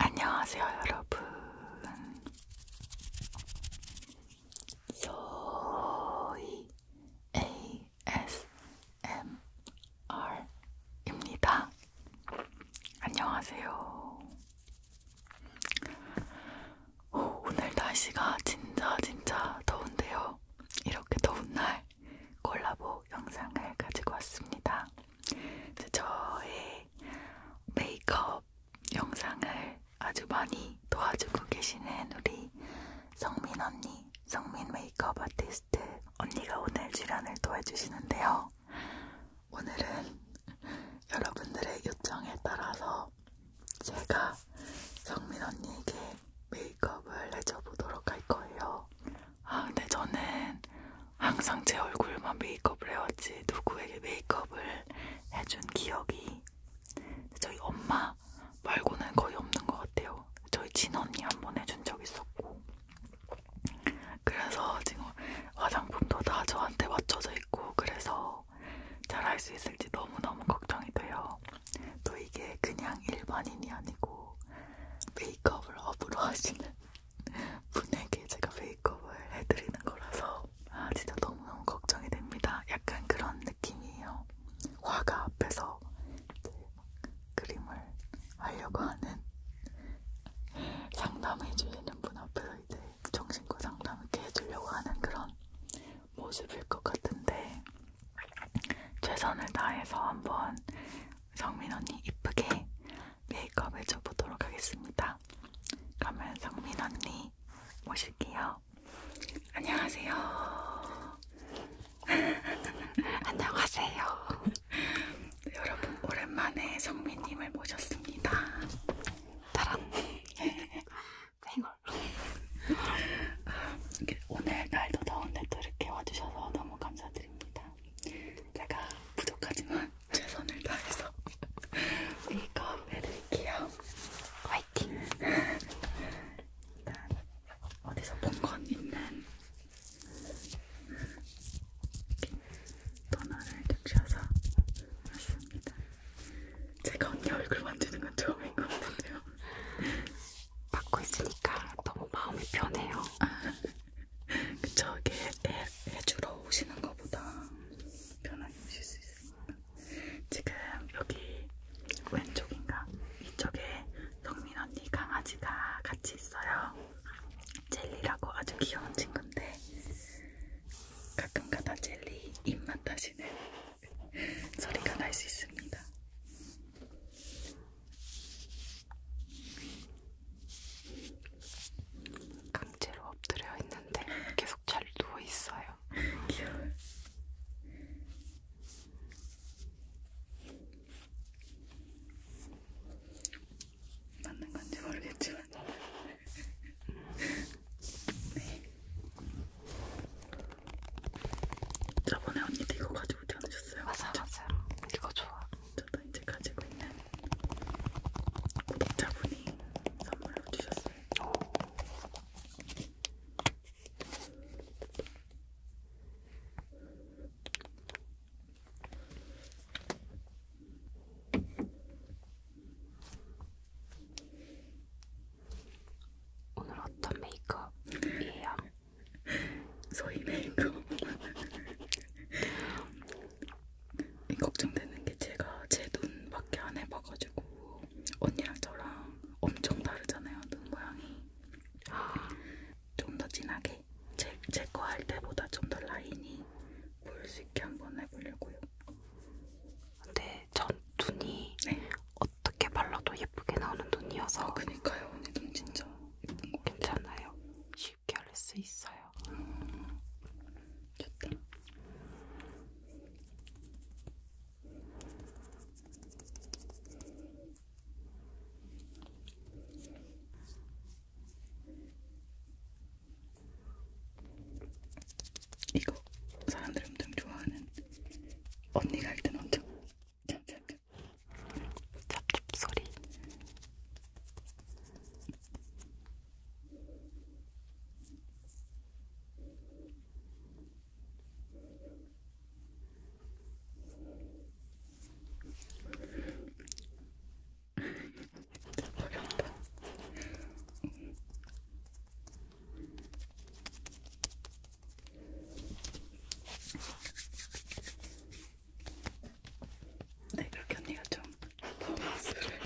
안녕하세요, 여러분. 소이 ASMR ASMR입니다. 안녕하세요. 오, 오늘 날씨가 진짜 진짜 더운데요. 이렇게 더운 날 콜라보 영상을 가지고 왔습니다. 저의 메이크업 영상을 아주 많이 도와주고 계시는 우리 성민 언니 성민 메이크업 아티스트 언니가 오늘 출연을 도와주시는데요. 오늘은 여러분들의 요청에 따라서 제가 성민 언니에게 메이크업을 해줘보도록 할 거예요. 아, 근데 저는 항상 제 얼굴만 메이크업을 해왔지 누구에게 메이크업을 해준 기억이 저희 엄마 말고는 거의 없는 것 같아요. 저희 친언니 한 번 해준 적 있었고 그래서 지금 화장품도 다 저한테 맞춰져 있고 그래서 잘 할 수 있을지 너무너무 걱정이 돼요. 또 이게 그냥 일반인이 아니고 메이크업을 업으로 하시는 분에게 제가 메이크업을 해드리는 거라서 아 진짜 너무너무 걱정이 됩니다. 약간 그런 느낌이에요. 화가 앞에서 그림을 하려고 하는 상담해주시는 분 앞에서 이제 정신과 상담 이렇게 해주려고 하는 그런 모습일 것 같은데 최선을 다해서 한번 성민 언니 이쁘게 메이크업 해줘보도록 하겠습니다. 그러면 성민 언니 모실게요. 안녕하세요. 안녕하세요. 여러분 오랜만에 성민님을 모셨습니다. 따란 생얼. 예. 아, 오늘 날도 더운데 또 이렇게 와주셔서 너무 감사드립니다. 제가 부족하지만 최선을 다해서 메이크업 해드릴게요. 화이팅! 일단 어디서 본 건 있는 토너를 주셔서 왔습니다. 제가 언니 얼굴 만지는 건 처음인 것 같은데요. 받고 있으니까 너무 마음이 편해요. 그쵸, 이게 해, 해주러 오시는 것보다 편하게 오실 수 있으니까. 지금 여기 왼쪽인가? 이쪽에 성 경민 언니 강아지가 같이 있어요. 젤리라고 아주 귀여운 친구인데 가끔가다 젤리 입맛 다시는 소리가 날 수 있습니다. 강제로 엎드려 있는데 계속 잘 누워 있어요. 귀여워. 맞는 건지 모르겠지만 네. 저번에 언니도 이거 가지고 오지 않으셨어요? 맞아 맞아 이거 좋아 저도 이제 가지고 있는 구독자분이 선물로 주셨어요 오. 오늘 어떤 메이크업이에요? 소희 메이크업. 걱정되는 게 제가 제 눈밖에 안 해봐가지고 언니랑 저랑 엄청 다르잖아요 눈 모양이. 좀더 진하게 제거할 때보다 좀 더 라인이 보일 수 있게 한번 해보려고요. 근데 전 눈이 네. 어떻게 발라도 예쁘게 나오는 눈이어서 아, 그니까요. 언니 눈 진짜 예쁜 거 괜찮아요. 쉽게 할 수 있어요. 음, 좋다. 이거 사람들 엄청 좋아하는 언니가 할땐 엄청 잠잠깐 찹찹 소리 어렵다. 네, 그렇게 언니가 좀 버스를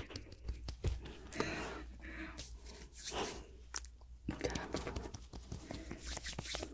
모자라고 그리고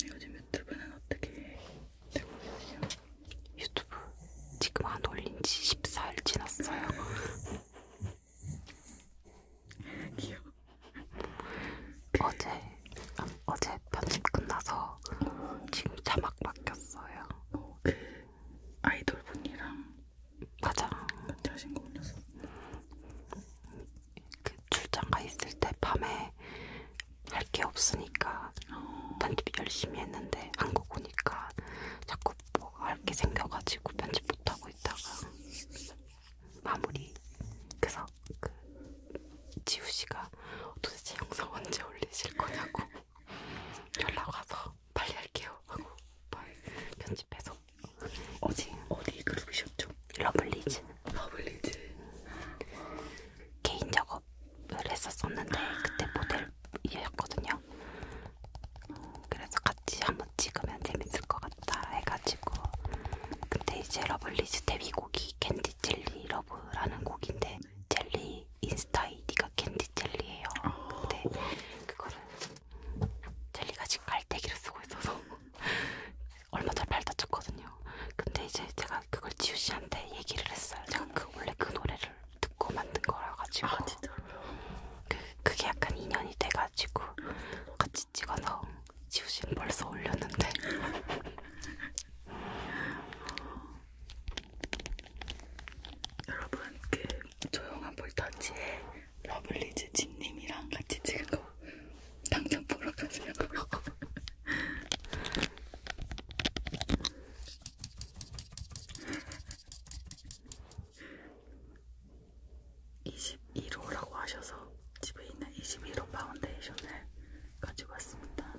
네, 요즘 유튜브는 어떻게 되고 계세요? 유튜브 지금 안 올린 지 14일 지났어요. 귀여워. 어제 아, 어제 편집 끝나서 지금 자막 바뀌었어요. 어, 그 아이돌 분이랑 맞아. 같이 하신 거 올렸어. 그 출장 가 있을 때 밤에 할 게 없으니까 어. 편집 열심히 했는데 한국 오니까 자꾸 뭐 할 게 생겨가지고 편집 못 하고 있다가 마무리. 그래서 그 지우 씨가 도대체 영상 언제 올리실 거냐고. 연락 와서 빨리 할게요 하고 편집해서 어디 어디 그룹이셨죠? 러블리즈. 러블리즈. 개인 작업을 했었었는데 그때 모델 일이었거든요. 그래서 같이 한번 찍으면 재밌을 것 같다 해가지고 근데 이제 러블리즈 데뷔곡이 캔디 젤리 러브라는 곡인데 젤리 제 인스타 아이디가 캔디 젤리예요. 아, 근데 그거를 젤리가 지금 갈대기를 쓰고 있어서 얼마 전에 발 다쳤거든요. 근데 이제 제가 그걸 지우 씨한테 얘기를 했어요. 제가 그 원래 그 노래를 듣고 만든 거라 가지고 아, 그 그게 약간 인연이 돼 가지고 같이 찍어서 지우 씨는 벌써 올렸는데. 여러분 그 조용한 볼터치에 러블리즈 진님이랑 같이 찍은 거 당장 보러 가세요. (21호라고) 하셔서 집에 있는 (21호) 파운데이션을 가지고 왔습니다.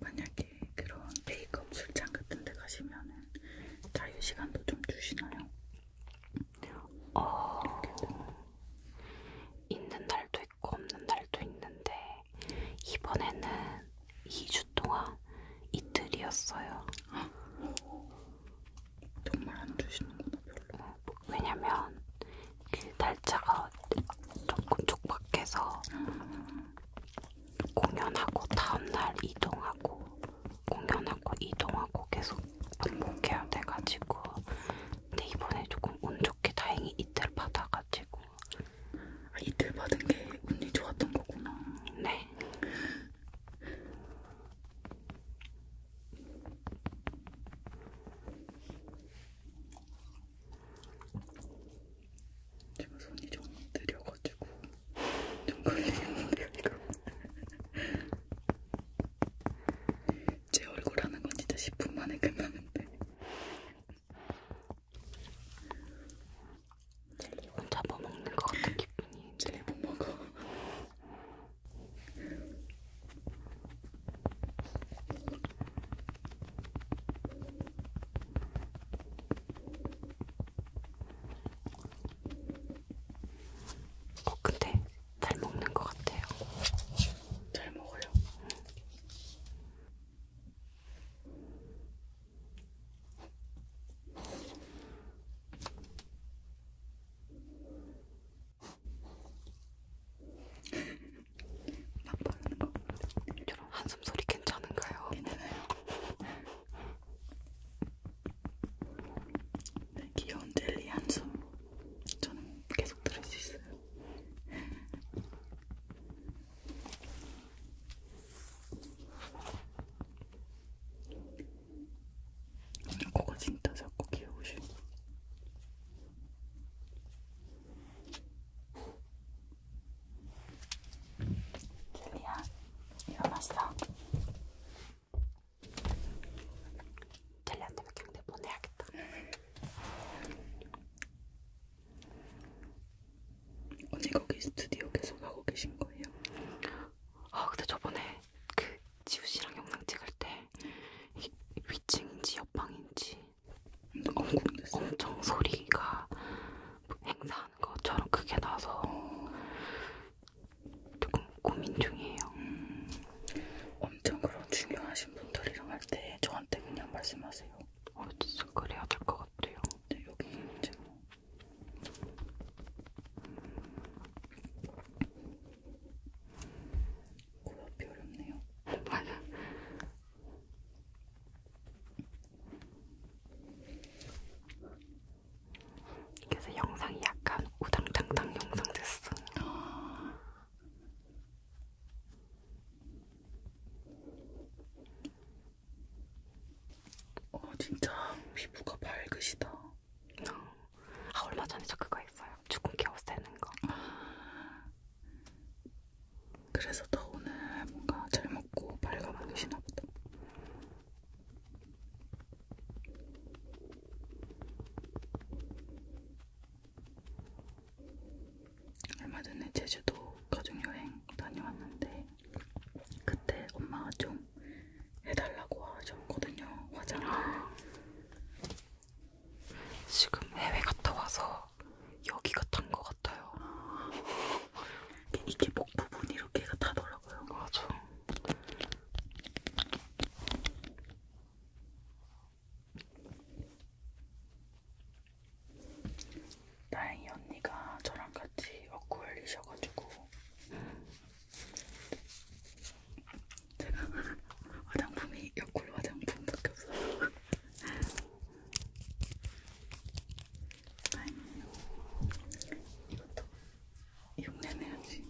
만약에 그런 메이크업 출장 같은 데 가시면은 자유 시간도 좀 주시나요? 어... 있는 날도 있고 없는 날도 있는데 이번에는 2주 동안 이틀이었어요. 정말 안 주시는구나 별로. 어, 뭐 왜냐면 그 날짜가 조금 촉박해서 음. 공연하고 다음날 이동하고 공연하고 이동하고 계속 반복해야 돼가지고 근데 이번에 조금 운 좋게 다행히 이틀 받아가지고 아, 이틀 받은 게 운이 좋았던 거구나 네 지금 손이 좀 느려가지고 좀 걸리는데요 이거 제 얼굴 하는 건 진짜 10분 만에 끝나는데 젤리 혼자 뭐 먹는 것 같은 기분이 젤리 못 먹어 어, 근데 잘 먹는 것 같아요. 잘 먹어요. 막 바르는 거. 저런 한숨 소리 괜찮은가요? 괜찮아요. 네, 귀여운 젤리 한숨. 저는 계속 들을 수 있어요. 코가 진짜 작고 귀여우시고 젤리야, 일어났어? 젤리한테 몇 경대 보내야겠다. 어제 거기 스튜디오 계속 하고 계신 거예요? 아 근데 저번에 그 지우 씨랑 영상 찍을 때 위층인지 옆방인지 엄청 소리가 행사하는 것처럼 크게 나서 조금 고민 중이에요. 음, 엄청 그런 중요하신 분들이랑 할 때 저한테 그냥 말씀하세요. 어, 진짜 그래야 될 것 같아요. 네, 여기 지금 구하기 어렵네요. 맞아. 그래서 영상이 약간 우당탕탕 영상 됐어. 어 진짜 피부가 밝으시다. 어. 아 얼마 전에 저 그거 했어요. 주근깨 없애는 거. 아, 그래서 더 오늘 뭔가 잘 먹고 밝아 보이시나 보다. 얼마 전에 제주도 가족여행 다녀왔는데 그때 엄마가 좀 해달라고 하셨거든요 화장을 지금 해외 갔다 와서 여기가 탄 것 같아요. 이게 목 부분 이렇게가 타더라고요. 맞아. 다행히 언니가 저랑 같이 업고 열리셔가지고 제가 화장품이 옆골 화장품밖에 없어서 다행이에요. 이것도 흉내내야지.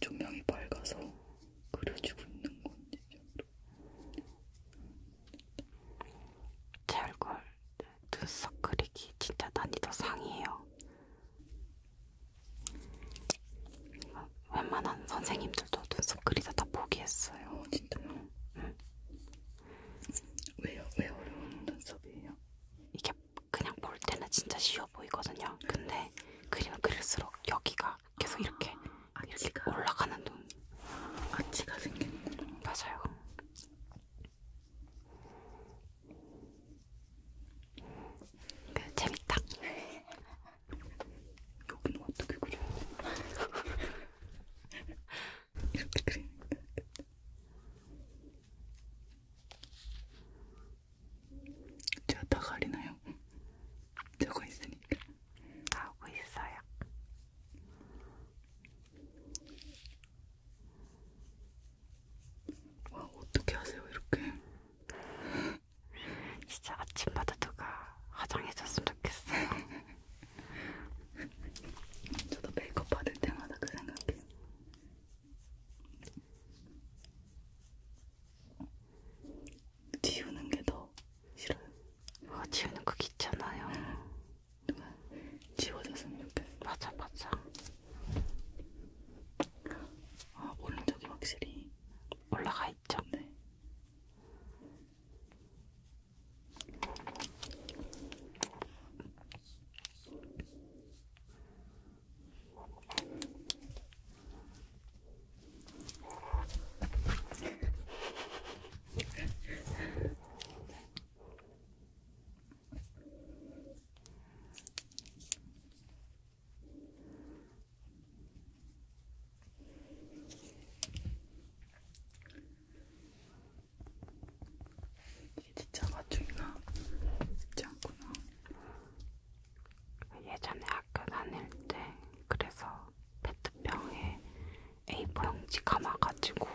조명이 밝아서 그려지고 있는 건지 찰골 눈썹 그리기 진짜 난이도 상이에요. 웬만한 선생님들도 눈썹 그리다 다 포기했어요. 어, 진짜요? 응. 왜요? 왜 어려운 눈썹이에요? 이게 그냥 볼 때는 진짜 쉬워 보이거든요. 근데 그림 그릴수록 여기가 계속 이렇게 아. 아치가 올라가는 돈 아치가 생긴 맞아요. 그 재밌다. 여기는 어떻게 그려요? 이렇게 그리는 제가 다 가리나요? 저거 있으니까. 나오고 있어요. 와 어떻게 하세요 이렇게? 진짜 아침마다 누가 화장해줬으면 좋겠어요. 저도 메이크업 받을 때마다 그 생각해요. 지우는 게 더 싫어요. 아, 지우는 거 귀찮아요. 누가 지워졌으면 좋겠어. 맞아, 맞아. 아, 오른쪽이 확실히 올라가 있죠. 네. 이게 진짜 맞춤이나 쉽지 않구나. 예전에 학교 다닐 때 그래서 페트병에 A4용지 감아가지고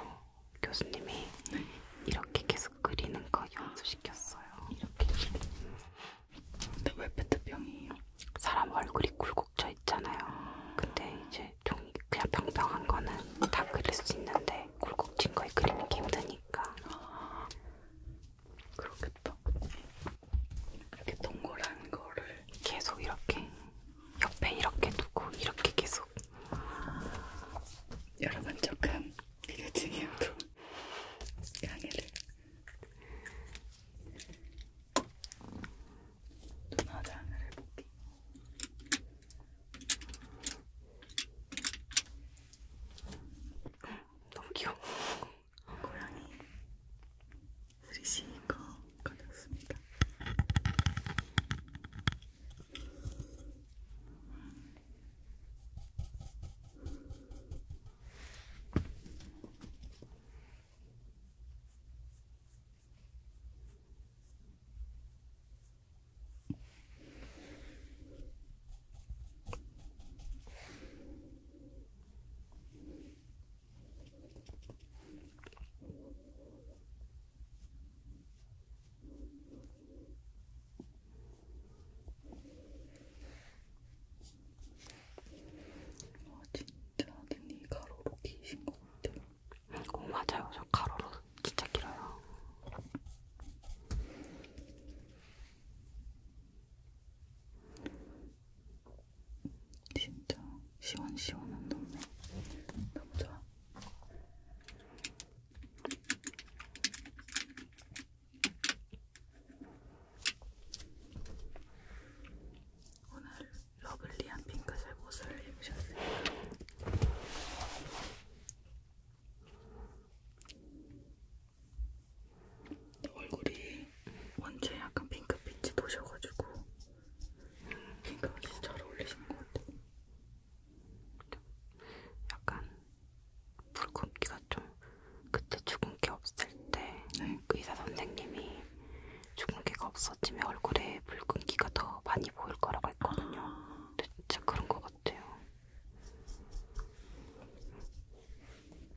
교수님이 네. 이렇게 계속 그리는 거 연습시켰어요. 이렇게. 근데 왜 페트병이에요? 사람 얼굴이 굴곡져 있잖아요. 근데 이제 종이 그냥 평평한 거는 다 그릴 수 있는데 굴곡진 거에 그리는 게 힘드니까. 아, 그렇겠다. 이렇게 동그란 거를 계속 이렇게 옆에 이렇게 두고 이렇게 계속 여러분 조금 비대칭이어도 양해를 눈화장을 해볼게 너무 귀여워 어, 고양이 스리시인 거 가졌습니다. 와 아, 진짜 언니 가로로 기신 것 같아요. 어, 맞아요. 저 가로로 진짜 길어요. 진짜 시원시원한 동네 너무 좋아. 오늘 러블리한 핑크색 옷을 입으셨습니다. 얼굴이 원체 약간 핑크빛이 도셔가지고 핑크가 진짜 잘 어울리시는 것 같아요. 약간 붉은기가 좀 그때 주근깨 없을 때 네. 그 의사 선생님이 주근깨가 없어지면 얼굴에 붉은기가 더 많이 보일 거라고 했거든요. 아. 근데 진짜 그런 것 같아요.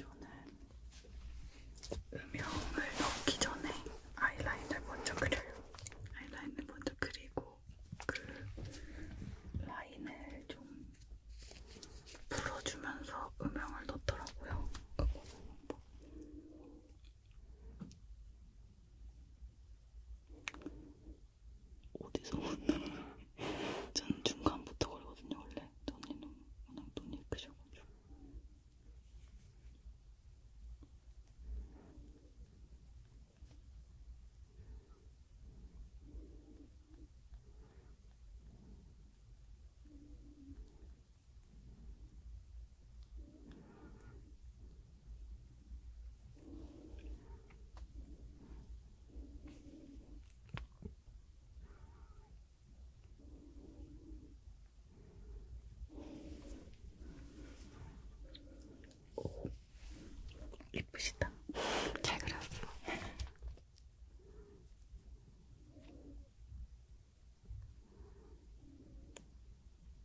저는 음영을 넣기 전에 아이라인을 먼저 그려요. 아이라인을 먼저 그리고 그 라인을 좀 풀어주면서 음영을 넣더라고요. 어디서 왔나? 저는 중간부터 걸거든요 원래. 언니는 워낙 눈이 크셔가지고. 이쁘시다. 잘 그렸어.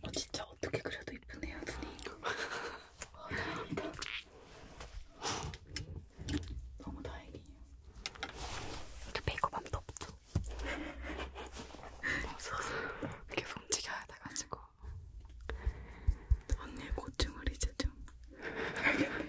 어, 진짜 어떻게 그래도 이쁘네요, 눈이. 와, 감사합니다. 너무 다행이에요. 이렇게 메이크업하면 덥죠? 없어서 계속 움직여야 돼가지고 언니의 고충을 이제 좀 알겠네요.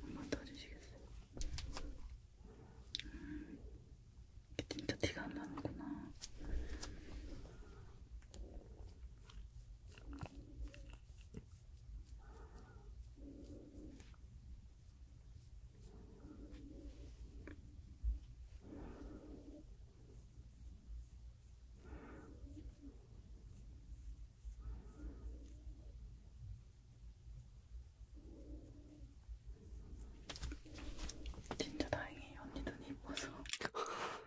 한번 더주시겠어요 음, 진짜 티가 안 나는구나. 진짜 다행이에요. 언니 눈이 이뻐서.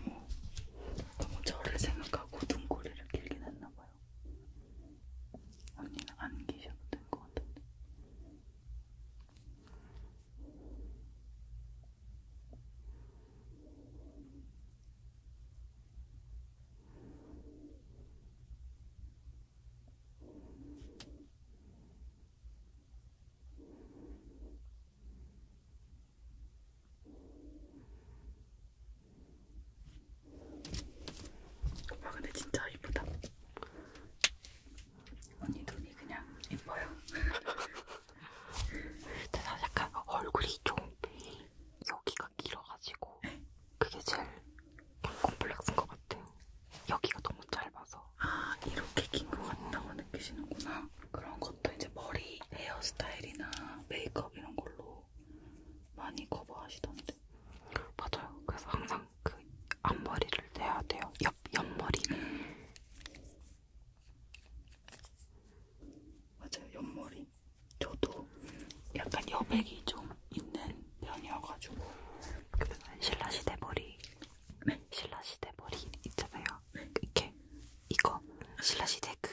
너무 너무 저를 생각하고 눈꼬리를 길게 놨나봐요. 언니는 안 계셔도 될 것 같은데. 아 근데 진짜 이쁘다. 언니 눈이 그냥 예뻐요. 제가 약간 얼굴이 좀 여기가 길어가지고 그게 제일 콤플렉스인 것 같아요. 여기가 너무 짧아서. 아 이렇게 긴 것 같다고 느끼시는구나. 그런 것도 이제 머리 헤어스타일이나 메이크업 이런 걸로 많이 커버하시던데. 맞아요. 그래서 항상 그 앞머리를 내야 돼요. 옆 옆머리. 맞아요, 옆머리. 저도 약간 여백이 좀 있는 편이어가지고. 그 신라시대 머리. 네? 신라시대 머리 있잖아요. 네? 이렇게. 이거. 신라시대 그.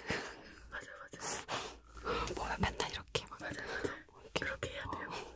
맞아, 맞아. 뭐야, 맨날 이렇게. 맞아, 맞아. 뭐 이렇게. 그렇게 해야 돼요. 어.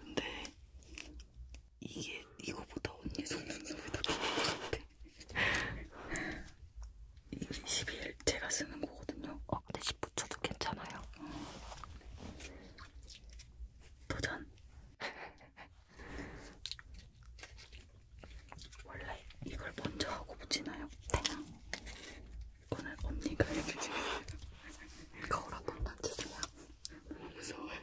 근데 이게 이거보다 언니 속눈썹이 더 좋은 것 같아. 22일 제가 쓰는 거거든요. 어, 근데 10붙여도 괜찮아요. 어. 도전. 원래 이걸 먼저 하고 붙이나요? 네. 오늘 언니가 해주세요. 거울 한번 만져주세요. 너무 무서워요.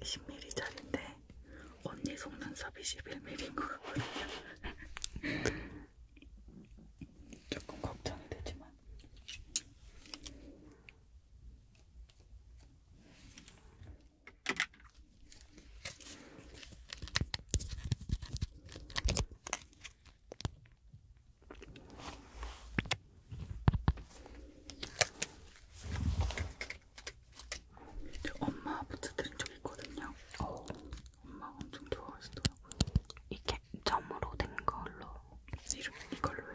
10mm짜리인데 언니 속눈썹이 11mm인 것 같거든요. 조금 걱정이 되지만. 엄마 부츠들은 좀 있거든요. 오. 어. 엄마 엄청 좋아하시더라고요. 이게 점으로 된 걸로 이름 이걸로요.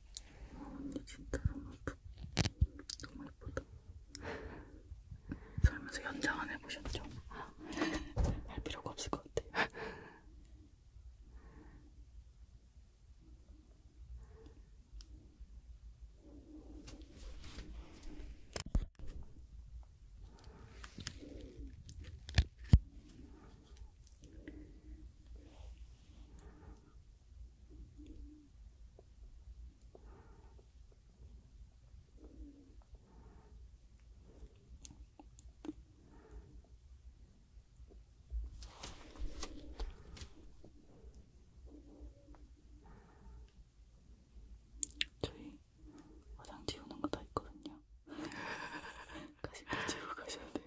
근데 진짜 너무 예쁘 너무 예쁘다 살면서 연장 안 해보셨죠? 할 필요가 없을 것 같아요 저희 화장 지우는 거 다 있거든요. 가시면 지우고 가셔야 돼요.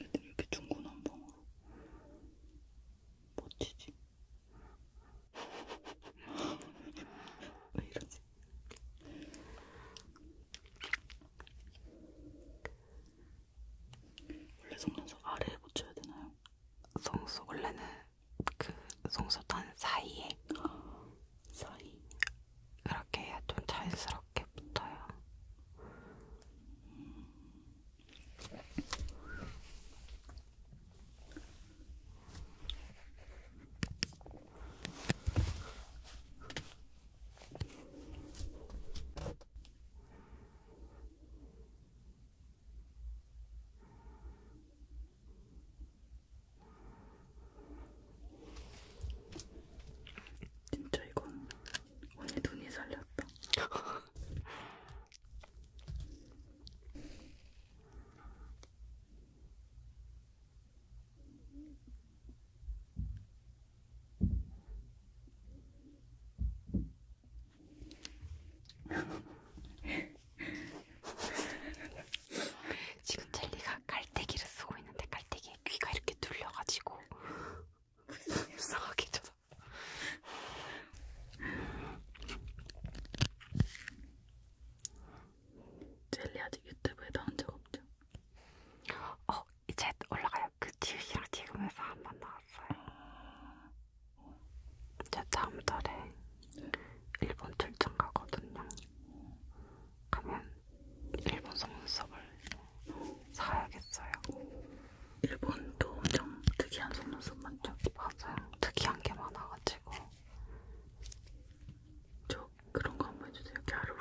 애들이 이렇게 중구난방으로 멋지지? 왜 이러지? 원래 속눈썹 아래에 붙여야 되나요? 속눈썹 원래는 그 속눈썹 단 사이에 사이 그렇게 좀 자연스럽게 이렇게 붙어요. 진짜 이건 언니 눈이 살렸다. 지금 젤리가 깔때기를 쓰고 있는데 깔때기에 귀가 이렇게 뚫려가지고 이상하게 쳐다. 젤리 아직 유튜브에 나온 적 없죠? 어 이제 올라가요. 그 지우씨랑 지금에서 한번 나왔어요. 저 다음 달에 일본 출장 가거든요. 가면 일본 속눈썹을 사야겠어요. 일본도 엄청 특이한 속눈썹 많죠? 맞아요. 특이한 게 많아가지고. 저 그런 거 한번 해주세요. 갸루.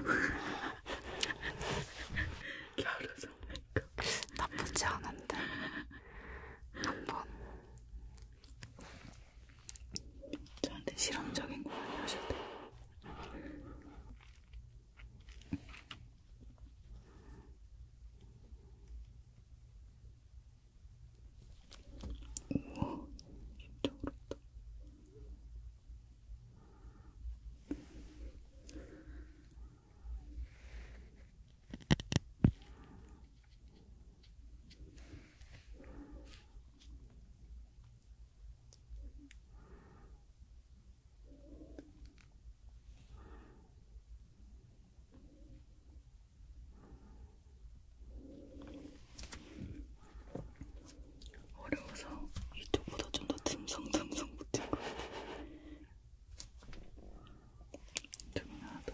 갸루 정맥 나쁘지 않은데. 한번. 저한테 실험적인 거 많이 하셔도 돼요. 우와, 진짜 어렵다. 어려워서 이쪽보다 좀더 듬성듬성 붙은 것 같아. 이쪽이 하나 더.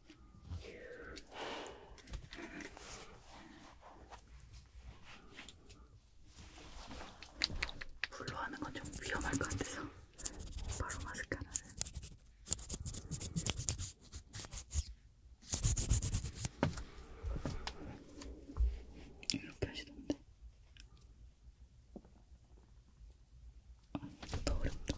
불로 하는 건 좀 위험할 것 같아서 바로 마스크 하나를 이렇게 하시던데 아, 더 어렵다.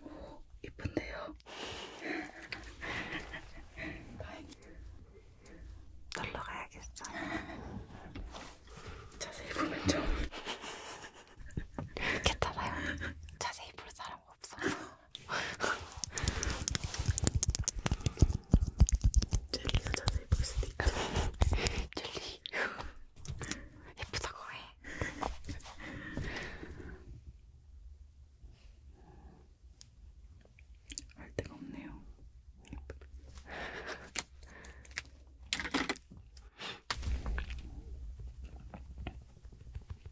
오, 이쁜데요? 놀러 가야겠어. 자세히 보면 좀. 괜찮아요. 자세히 볼 사람 사람 없어. 젤리가 자세히 볼 수도 있다. 젤리 예쁘다고 해. 할 데가 없네요.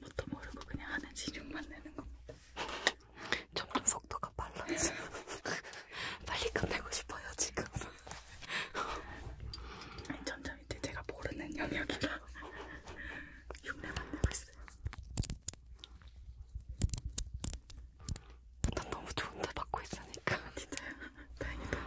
뭣도 모르고 그냥 하는 진육만 내는 겁니다. 점점 속도가 빨라져. 빨리 끝내고 싶어요 지금. 점점 이제 제가 모르는 영역이라 흉내만 내고 있어요. 난 너무 좋은데 받고 있으니까 아, 진짜 다행이다.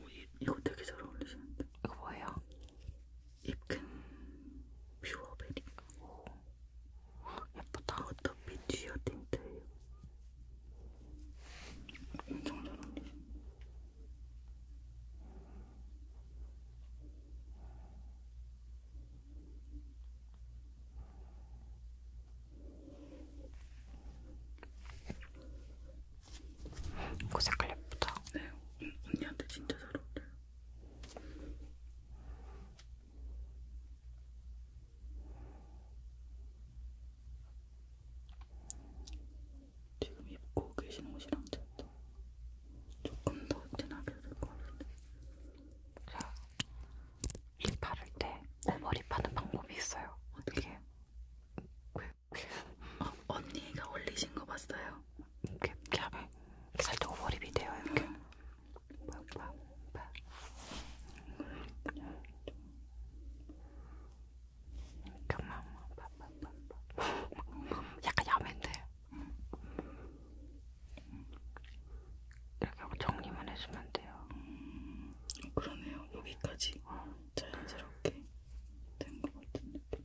오, 이, 이거 되게 잘 어울리시는데. 이거 뭐예요? 입큰 퓨어베리. 오, 예쁘다. 어차피 듀오 틴트 엄청 잘 어울리죠? 그 색깔 예쁘다. 네, 음, 언니한테 진짜 잘 어울려요. 지금 입고 계시는 옷이랑 잤다. 조금 더 진하게 될것 같은데. 립 바를 때 오버립 하는 방법이 있어요. 어떻게? 이게... 어, 언니가 올리신 거 봤어요? 이렇게, 이렇게 하면 이렇게 살짝 오버립이 돼요. 이렇게. 응. 빡빡빡. 그냥 좀 잠깐만 약간 야매인데 이렇게 정리만 해주면 돼요 음, 그러네요 여기까지 자연스럽게 된 것 같은 느낌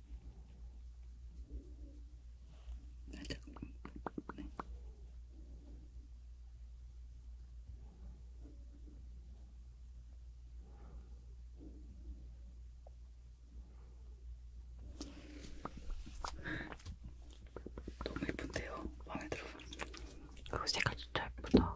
살짝 네. 너무 예쁜데요? 마음에 들어. 그거 색깔 진짜 예쁘다.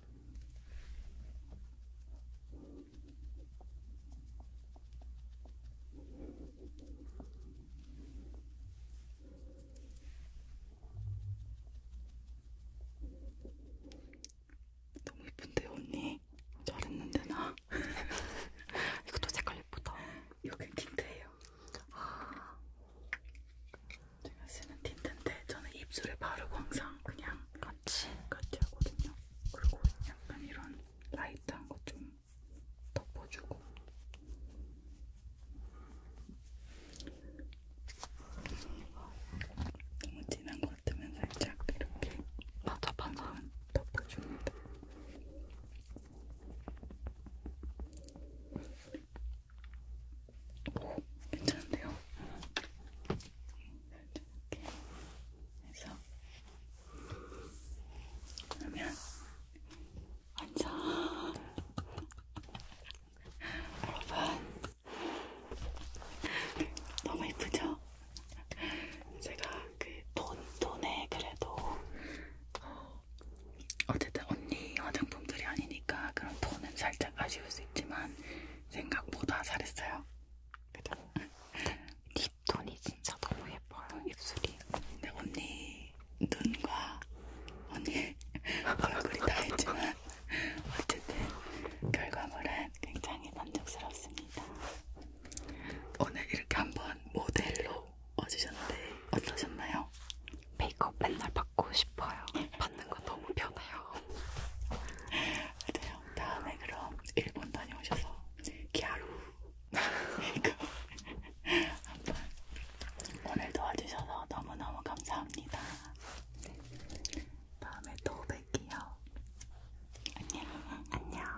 너무 예쁜데 언니 잘했는데 나 이것도 색깔 예쁘다. 이거 그냥 틴트예요. 아, 제가 쓰는 틴트인데 저는 입술에 바르고 항상 그냥 같이 같이 하거든요. 그리고 약간 이런 라이트한 거 좀 덮어주고 너무 진한 것 같으면 살짝 이렇게 맞아 맞아 덮어줍니다. 오, 괜찮은데요? 이렇게 해서 그러면 완전 여러분 너무 예쁘죠? 제가 그돈 돈에 그래도 어, 어쨌든 언니 화장품들이 아니니까 그런 돈은 살짝 아쉬울 수 있지만 생각보다 잘했어요. 립톤이 네 진짜 너무 예뻐요. 입술이. 근데 네, 언니 눈과 언니 얼굴이 다 있지만 어쨌든 결과물은 굉장히 만족스럽습니다. 오늘 이렇게 한번 모델로 와주셨는데 어떠셨나요? 메이크업 맨날 받고 싶어요. 받는 건 너무 편해요. 네. 다음에 그럼 일본 다녀오셔서 기아루 이거 한번 오늘 도와주셔서 너무너무 감사합니다. 다음에 또 뵐게요. 안녕. 안녕.